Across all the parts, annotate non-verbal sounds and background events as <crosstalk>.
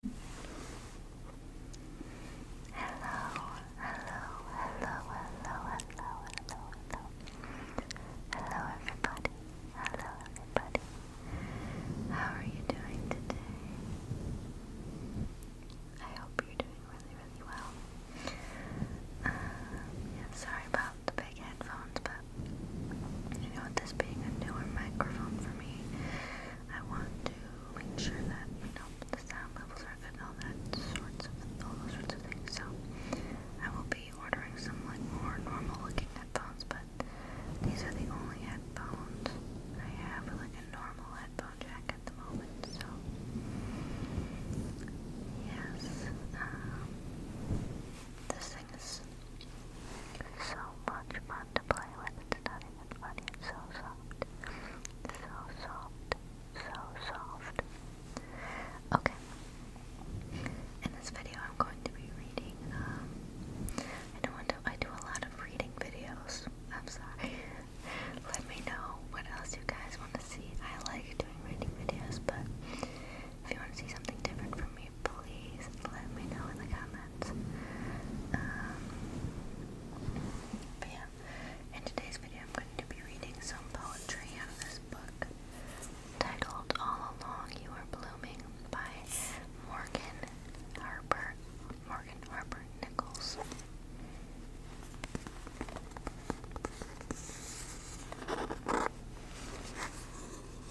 hello, hello, hello, hello, hello, hello. Hello everybody. Hello everybody. How are you doing today? I hope you're doing really, really well. Um, sorry about the big headphones, but you know, this being a newer microphone for me, I want to make sure that, you know, the sound levels are good and all that sorts of all those sorts of things. So I will be ordering some like more normal looking headphones, but these are the only headphones I have with like a normal headphone jack at the moment, so yes. Um, this thing is so much fun to play with. It's not it's funny, it's so soft. So soft. So soft. Okay. In this video I'm going to be reading, um, I don't want to I do a lot of reading videos. I'm sorry. <laughs> Let me know what else you guys want to see. I like doing reading videos, but if you want to see something different from me, please let me know in the comments. Um, but yeah, in today's video, I'm going to be reading some poetry out of this book titled All Along You Are Blooming by Morgan Harper, Morgan Harper Nichols.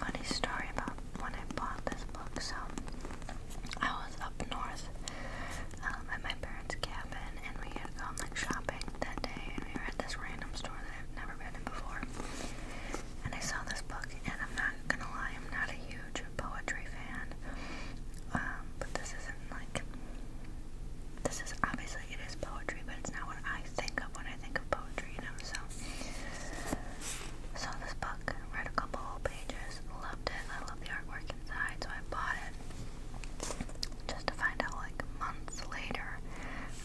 Funny story about when I bought this book. So I was up north um, at my parents' cabin, and we had gone like shopping that day, and we were at this random store that I've never been in before. And I saw this book, and I'm not gonna lie, I'm not a huge poetry fan. Um, but this isn't like this is obviously it is poetry, but it's not what I think of when I I think of poetry, you know, so. So this book, read a couple whole pages, loved it, I love the artwork inside, so I bought it. Just to find out, like, months later,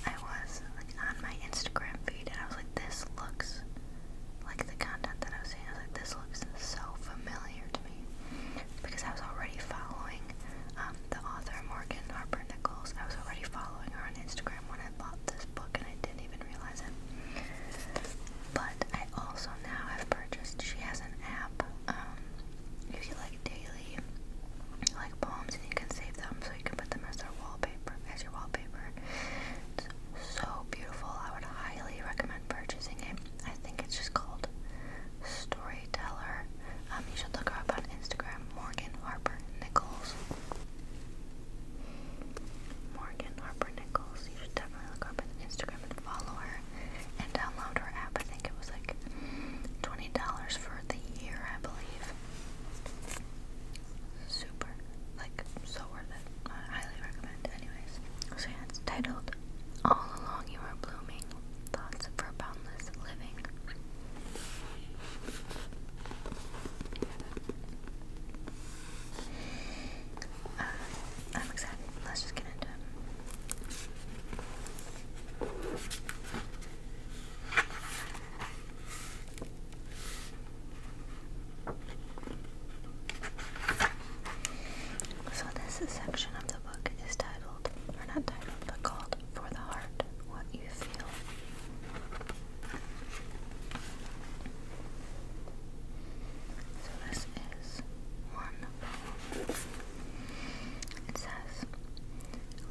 I was like on my Instagram feed and I was like, this looks like the content that I was seeing, I was like, this looks so familiar to me. Because I was already following um, the author Morgan Harper Nichols. I was already following her on Instagram when I bought this book and I didn't even realize it. But I also now have purchased, she has an app, um, if you like daily, like poems and you can save them so you can put them as their wallpaper, as your wallpaper. It's so beautiful. I would highly recommend purchasing it. I think it's just called Storyteller um, you should look her up on Instagram, Morgan Harper Nichols. Morgan Harper Nichols. You should definitely look up on Instagram and follow her and download her app. I think it was like twenty dollars for the year, I believe. Super, like so worth it. highly recommend. Anyways, so yeah, it's titled "All Along You Are Blooming: Thoughts for Boundless Living." Uh, Let's just get into it. So this section of the book is titled, or not titled, but called For the Heart, you So this is one It says,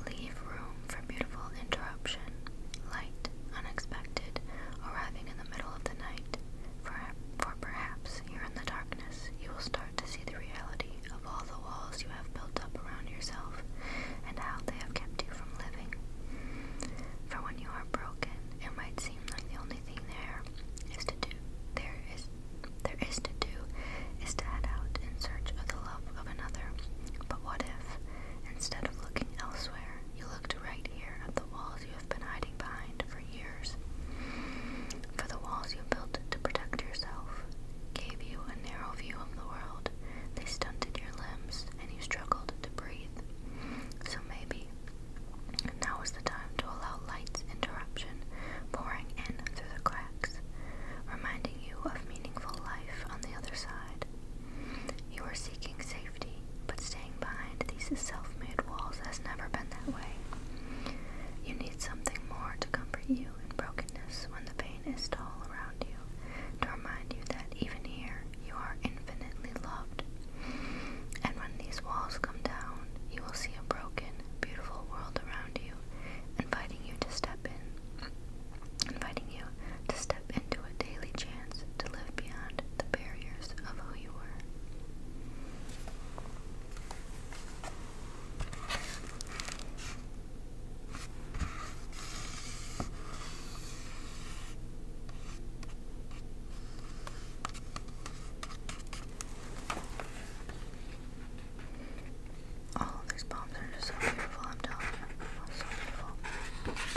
Leave room for beautiful interruption, light, unexpected, arriving in the middle of the night. For, for perhaps here in the darkness you will start to see the reality of all the walls you have built up around yourself and how they have kept you from living. For when you are broken, it might seem like the only thing there is to do there is there is to do is to head out in search of the love of another. But what if, instead of looking elsewhere, you looked right here at the walls you have been hiding behind for years? For the walls you built to protect yourself, gave you a narrow view of the world. They stunted your limbs, and you struggled to breathe. So maybe now is the time to allow light's interruption pouring in through the cracks, reminding you of meaningful life on the other side. You are seeking safety, but staying behind these self made walls has never been that way. You need something more to comfort you in brokenness when the pain is tall around you, remind you that even here you are infinitely loved. And when these walls come down, you will see a broken, beautiful world around you, inviting you to step in, inviting you to step into a daily chance to live beyond the barriers of who you were. Oh, these bombs are just so beautiful, I'm telling you. so beautiful.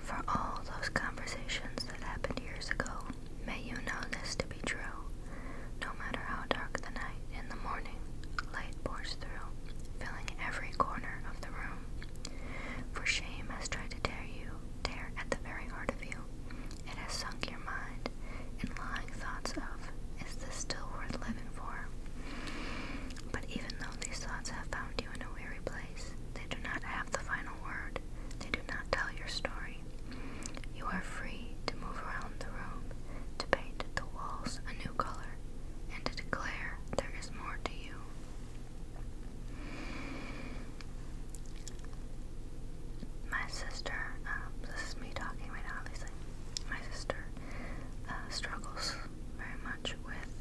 For all those conversations that happened years ago, may you know this to be true. No matter how dark the night, in the morning, light pours through, filling every corner of the room. For shame has tried to tear you, tear at the very heart of you. It has sunk your mind in lying thoughts of is this still worth living for? But even though these thoughts have found you in a weary place, they do not have the final word. They do not tell your story. You are free to move around the room, to paint the walls a new color, and to declare there is more to you. My sister, um, this is me talking right now, my sister, uh, struggles very much with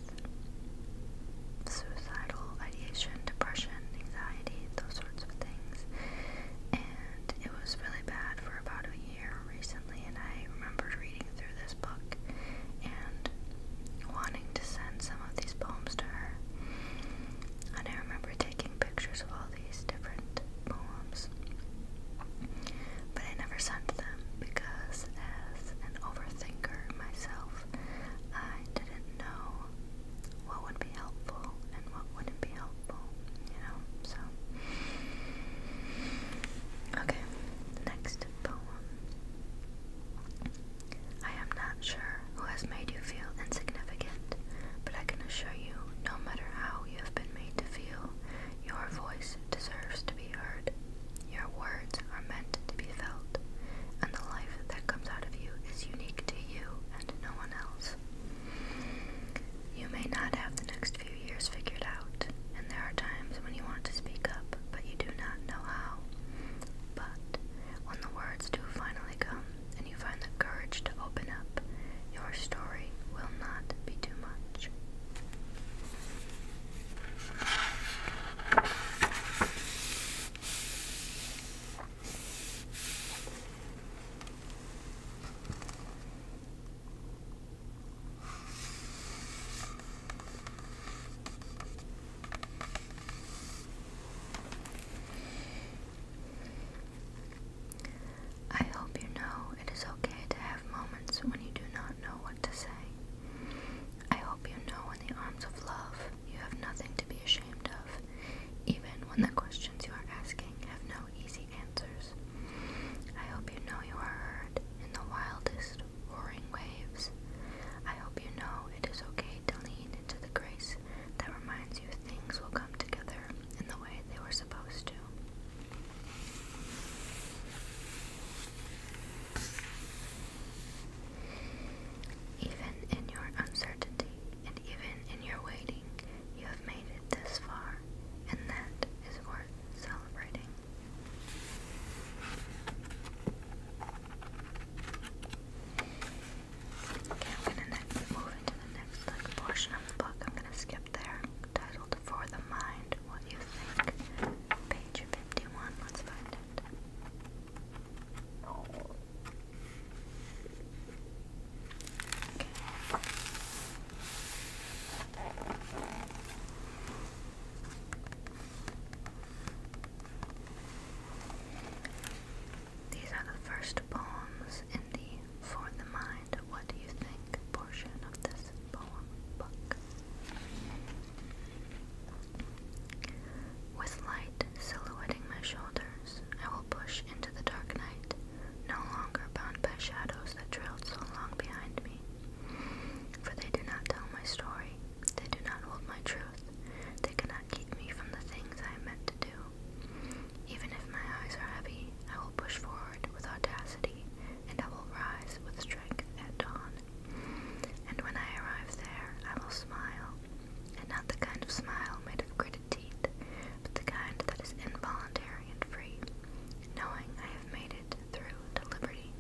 suicidal ideation, depression, anxiety, those sorts of things. And it was really bad for about a year recently, and I remembered reading through this book and wanting to send some of these poems to her. And I remember taking pictures of all these different poems. But I never sent them because, as an overthinker myself, I didn't know what would be helpful and what wouldn't be helpful, you know? So, okay, next poem. I am not sure who has made you feel insignificant, but I can assure you, no matter how you have been made to feel, your voice deserves to be heard. Your words are meant to be felt, and the life that comes out of you is unique to you and no one else. You may not have the next few years figured out, and there are times when you want to speak up, but you do not know how. But when the words do finally come, and you find the courage to open up, your story will not be too much. I hope you know it is okay to have moments when you do not know what to say. I hope you know in the arms of love you have nothing to be ashamed of, even when the questions you are asking have no easy answers. I hope you know you are heard in the wildest, roaring waves. I hope you know it is okay to lean into the grace that reminds you things will come together in the way they were supposed to. Even in your uncertainty and even in your waiting, you have made it this far, and that is worth celebrating. Okay, I'm gonna next move into the next portion of the book. I'm gonna skip there. Titled For the Mind, What You Think. Page 51. Let's find it. These are the first poems in the For the Mind, What Do You Think portion of this poem book. With light silhouetting my shoulders, I will push into the dark night, no longer bound by shadows that trailed so long behind me. For they do not tell my story, they do not hold my truth, they cannot keep me from the things I meant to do. Even if my eyes are heavy, I will push forward with audacity, and I will rise with strength at dawn. And when I arrive there, I will smile, and not the kind of smile made of gritted teeth, but the kind that is involuntary and free, knowing I have made it through to liberty.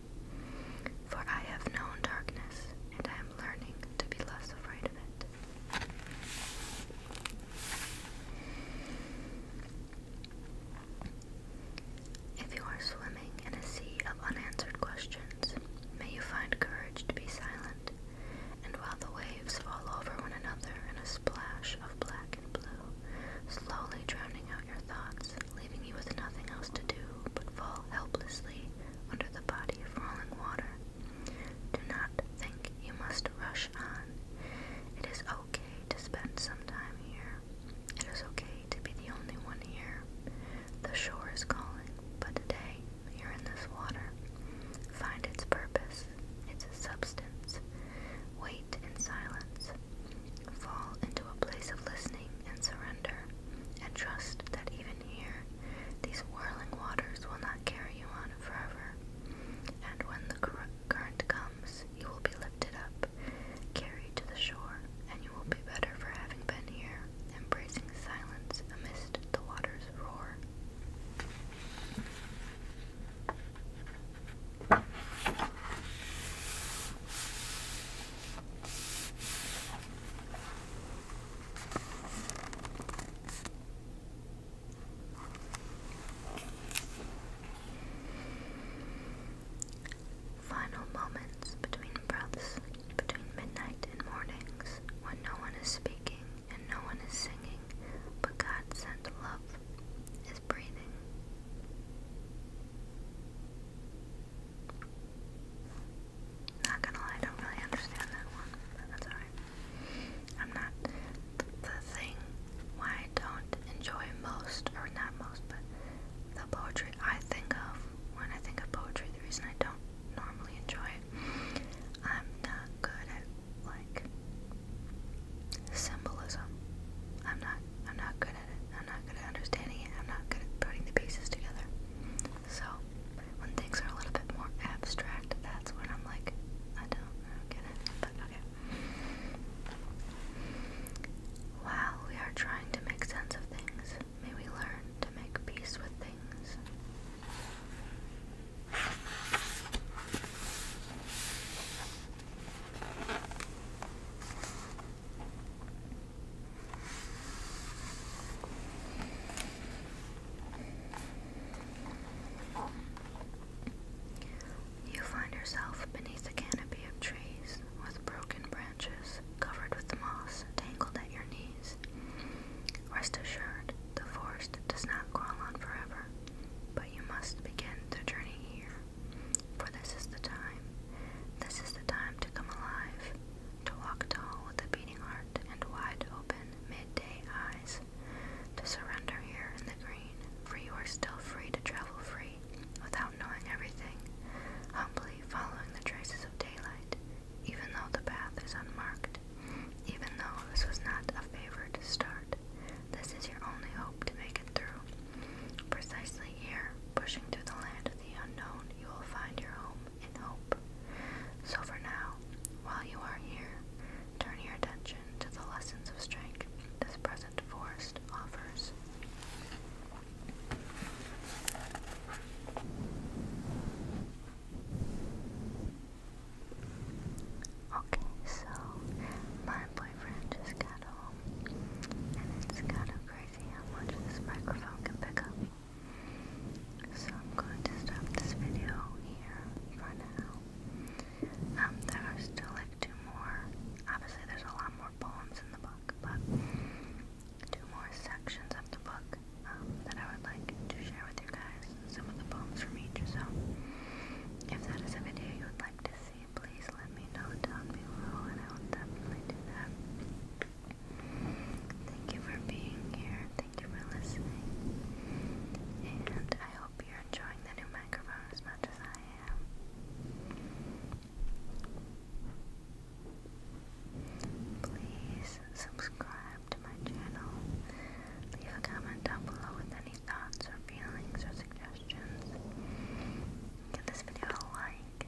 For I have known darkness, and I am learning to be less afraid of it. If you are swimming in a sea of unanswered questions, may you find courage to be silent, and while the waves fall over one another in a splash of black and blue, slowly drowning out your thoughts, leaving you with nothing else to do but fall helplessly under the body of rolling water do not think you must rush on. It is okay to spend some time here. It is okay to be the only one here. The shore is calling, but today you're in this water. Find its purpose, its a substance. Wait in silence. Fall into a place of listening and surrender, and trust that even here, these whirling waters will not carry you on forever. And when the current comes, you will be lifted up, carried to the shore, and you will be better for having been here, embracing silence amidst the water's roar. Final moments between breaths, between midnight and mornings, when no one is speaking and no one is singing, but God sent love is breathing. Not gonna lie, I don't really understand that one, but that's alright. I'm not the thing why I don't enjoy most, or not most, but the poetry I think of when I think of poetry, the reason I don't normally enjoy it, I'm not good at like symbolism. I'm not I'm not good at it. I'm not good at understanding it. I'm not good at putting the pieces together. So when things are a little bit more abstract, that's when I'm like, I don't, get it, but okay. While we are trying to make sense of things, may we learn to make peace with things. You find yourself beneath a canopy of trees with broken branches covered with moss tangled at your knees. Rest assured, the forest does not crawl on forever, but you must begin the journey here. For this is the time. This is the time to come alive to walk tall with a beating heart and wide open midday eyes, to surrender here in the green, for you are still free to travel free, without knowing everything, humbly following the traces of daylight, even though the path is unmarked, even though this was not a favored start. This is your only hope to make it through. Precisely here, pushing through the land of the unknown, you will find your home and hope. So for now, while you are here, turn your attention to the lessons of strength this present forest offers. Okay, so my boyfriend just got home, and it's kind of crazy how much this microphone can pick up. So I'm going to stop this video here for now. Um, there are still like two more. Obviously, there's a lot more poems in the book, but two more sections of the book um, that I would like to share with you guys. Some of the poems from each. So, if that is a video you would like to see, please let me know down below, and I will definitely do that. Thank you for being here. Thank you for listening. And I hope you're enjoying the new microphone as much as I am. Please subscribe to my channel. Leave a comment down below with any thoughts or feelings or suggestions. Give this video a like.